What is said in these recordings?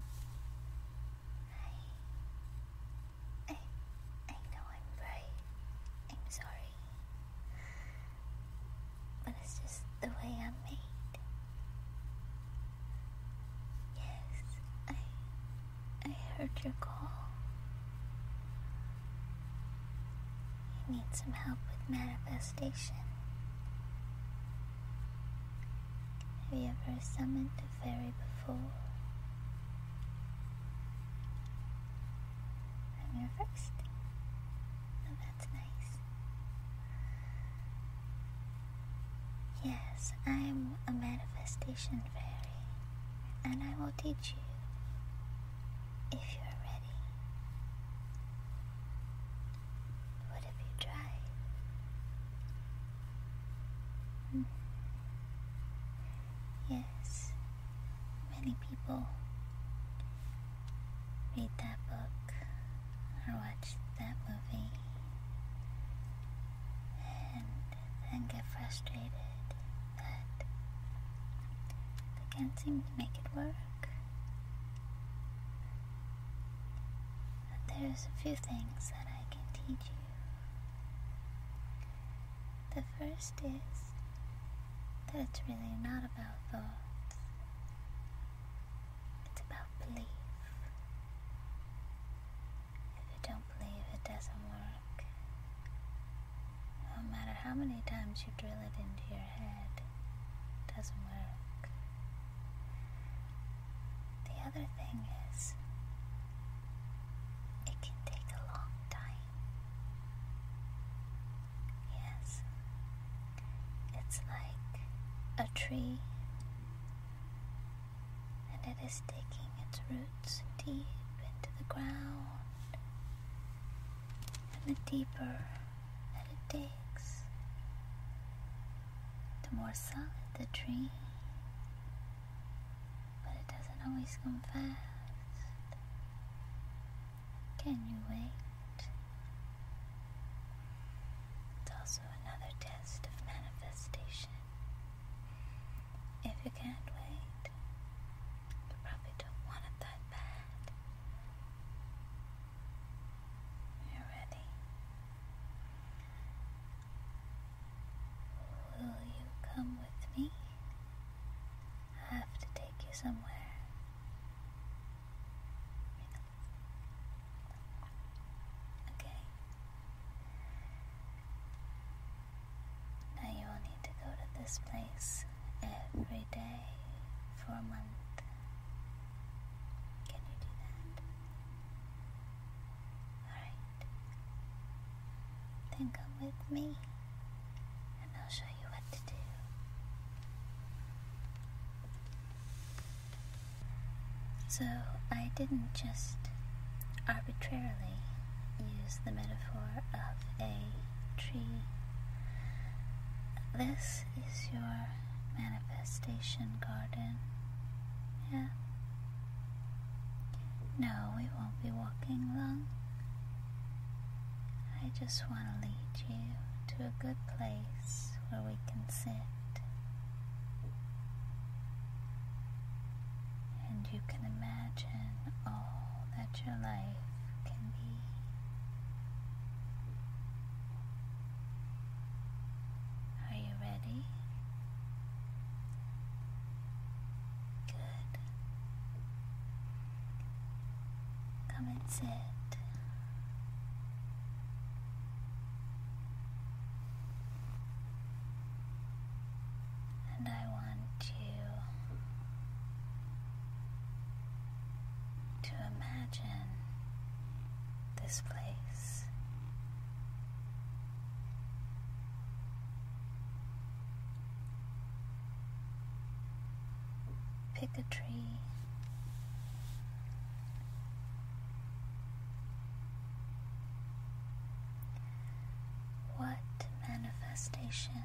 I, I know I'm right. I'm sorry. But it's just the way I'm made. Yes, I, I heard your call. You need some help with manifestation. Have you ever summoned Fairy, before. And you're first. Oh, that's nice. Yes, I'm a manifestation fairy, and I will teach you if you're ready. What have you tried? Yes, many people read that book or watch that movie and then get frustrated that they can't seem to make it work there's a few things that I can teach you. The first is that it's really not about thoughts, it's about belief. If you don't believe, it doesn't work. No matter how many times you drill it into your head, it doesn't work. The other thing is, it can take a long time. Yes, it's like a tree, and it is digging its roots deep into the ground, and the deeper that it digs, the more solid the dream. But it doesn't always come fast. Can you wait? It's also another test of manifestation. If you can't wait, you probably don't want it that bad. you ready. Will you come with me? I have to take you somewhere. Okay. Now you will need to go to this place every day for a month. Can you do that? Alright. Then come with me and I'll show you what to do. So I didn't just arbitrarily use the metaphor of a tree. This is your manifestation garden. Yeah. No, we won't be walking long. I just want to lead you to a good place where we can sit. And you can imagine all that your life can be. Are you ready? Good. Come and sit. And I want you to imagine this place Pick a tree. What manifestation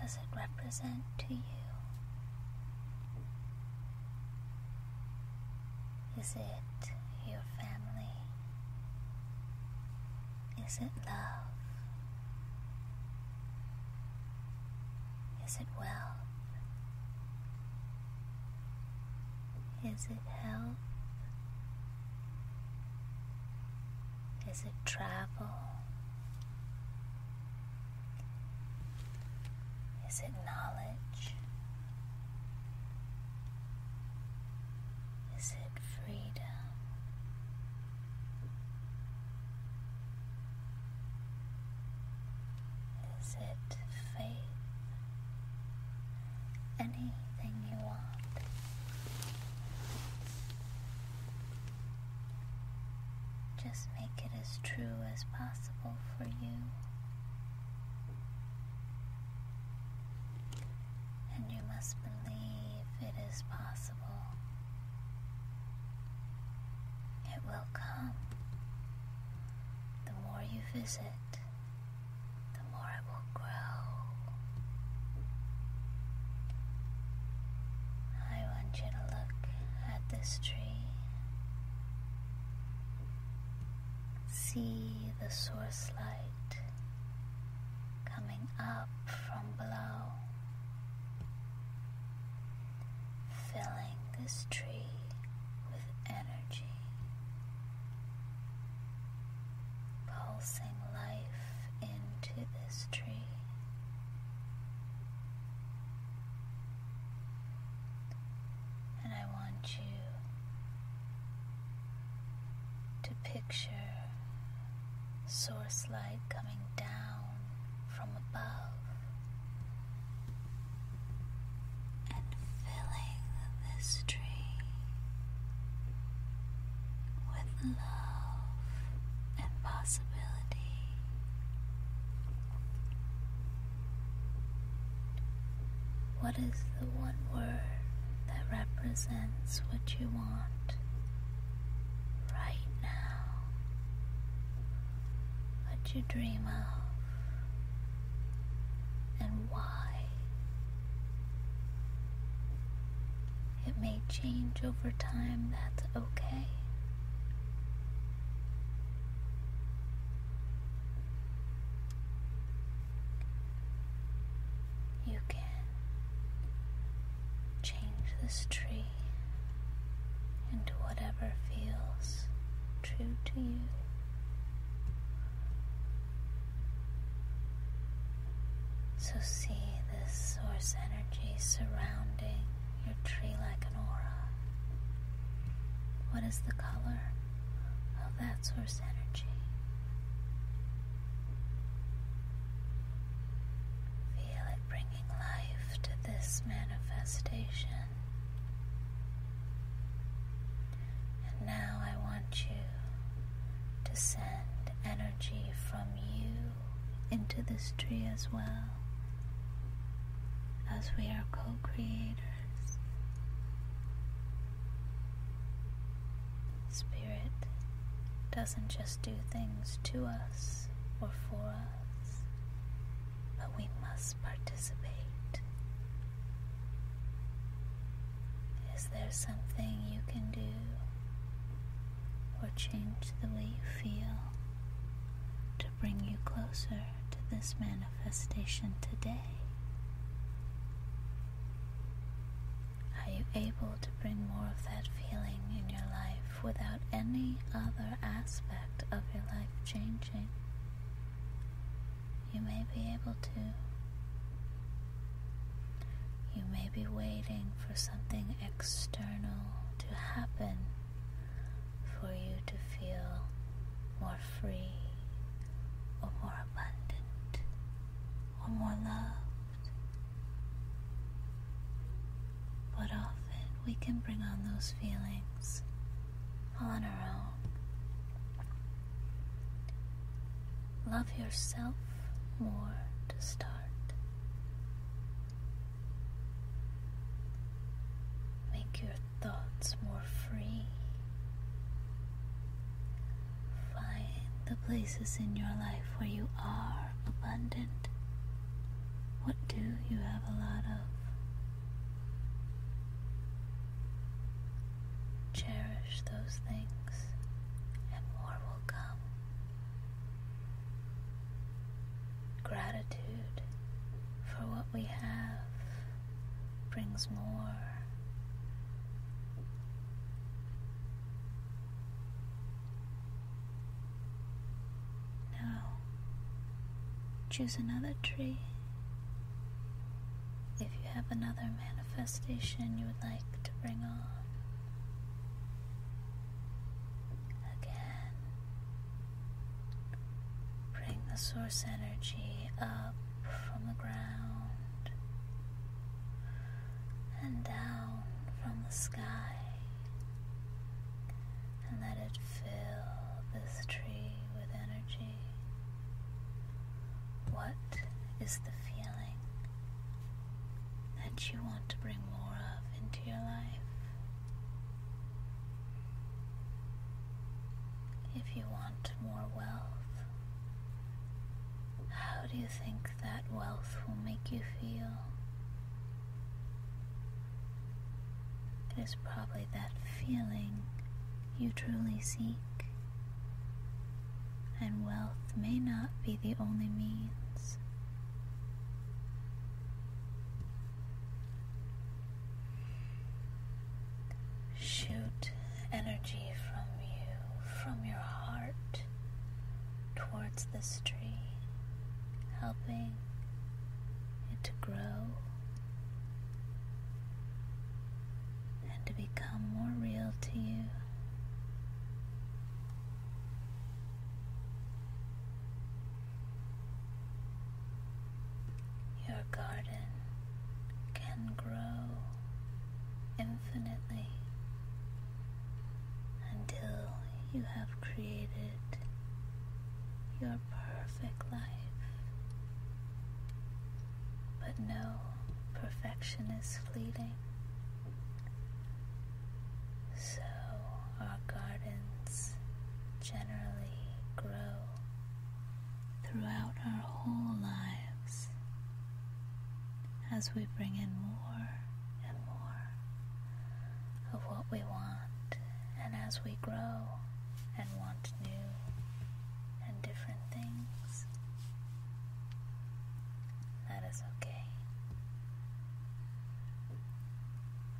does it represent to you? Is it your family? Is it love? Is it wealth? Is it health? Is it travel? Is it knowledge? Is it freedom? Is it faith? Anything you want. Just make it as true as possible for you and you must believe it is possible. It will come. The more you visit, the more it will grow. I want you to look at this tree. See the source light coming up from below, filling this tree with energy, pulsing life into this tree. And I want you to picture source light coming down from above and filling this tree with love and possibility. What is the one word that represents what you want right now? What you dream of and why? It may change over time, that's okay. You can change this tree into whatever feels true to you. So see this source energy surrounding your tree like an aura. What is the color? of that source energy. Feel it bringing life to this manifestation. And now I want you to send energy from you into this tree as well, as we are co creators. Spirit doesn't just do things to us or for us, but we must participate. Is there something you can do or change the way you feel to bring you closer to this manifestation today? Are you able to bring more of that feeling in your life without any other aspect of your life changing? You may be able to. You may be waiting for something external to happen for you to feel more free or more abundant, or more loved. But often we can bring on those feelings on our own. Love yourself more to start. Make your thoughts more free Find the places in your life where you are abundant. What do you have a lot of? Cherish those things, and more will come. Gratitude for what we have brings more. Now, choose another tree. If you have another manifestation you would like to bring on. bring the source energy up from the ground and down from the sky, and let it fill this tree with energy. What is the feeling that you want to bring more of into your life? If you want more wealth, how do you think that wealth will make you feel? It is probably that feeling you truly seek, and wealth may not be the only means. Shoot energy from you, from your heart, towards the tree, helping it to grow and to become more real to you. Your garden can grow infinitely until you have created your perfect life. But no, perfection is fleeting. So our gardens generally grow throughout our whole lives as we bring in more and more of what we want, and as we grow and want new and different things, that is okay.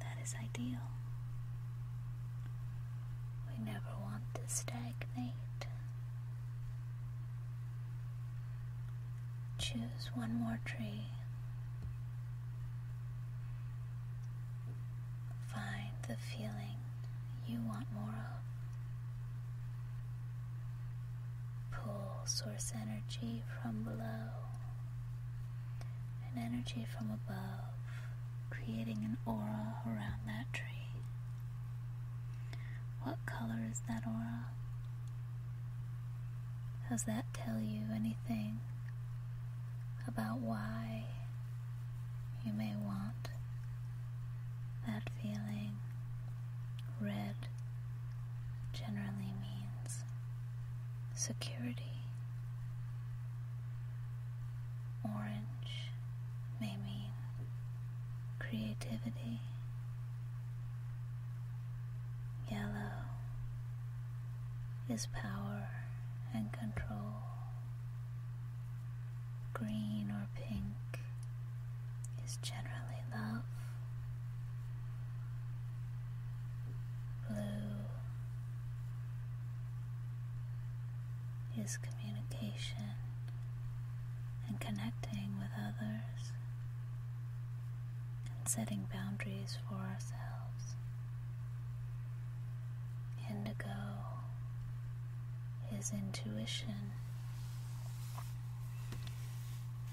That is ideal. We never want to stagnate. Choose one more tree. Find the feeling you want more of. Pull source energy from below and energy from above, creating an aura around that tree. What color is that aura? Does that tell you anything about why you may want that feeling? Red generally means security. Orange may mean creativity, yellow is power and control, green or pink is generally love, blue is communication and connecting with others and setting boundaries for ourselves. Indigo is intuition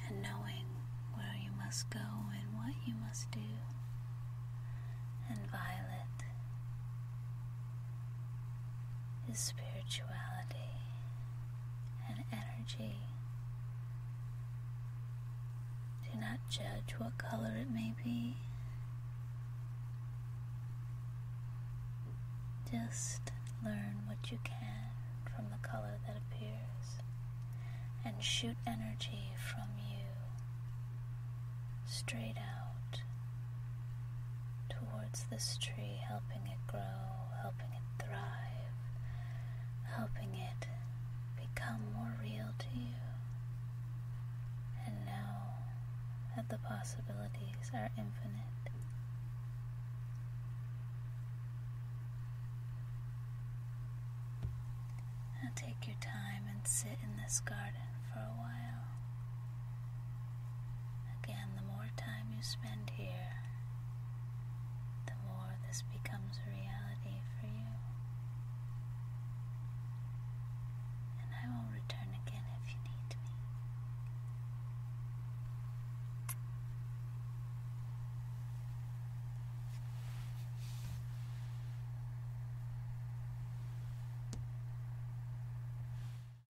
and knowing where you must go and what you must do, and violet is spirituality and energy. Do not judge what color it may be. Just learn what you can from the color that appears and shoot energy from you straight out towards this tree, helping it grow, helping it thrive, helping it become more real to you. And know that the possibilities are infinite. Now take your time and sit in this garden for a while. Again, the more time you spend here, the more this becomes a reality for you. And I will return again if you need me.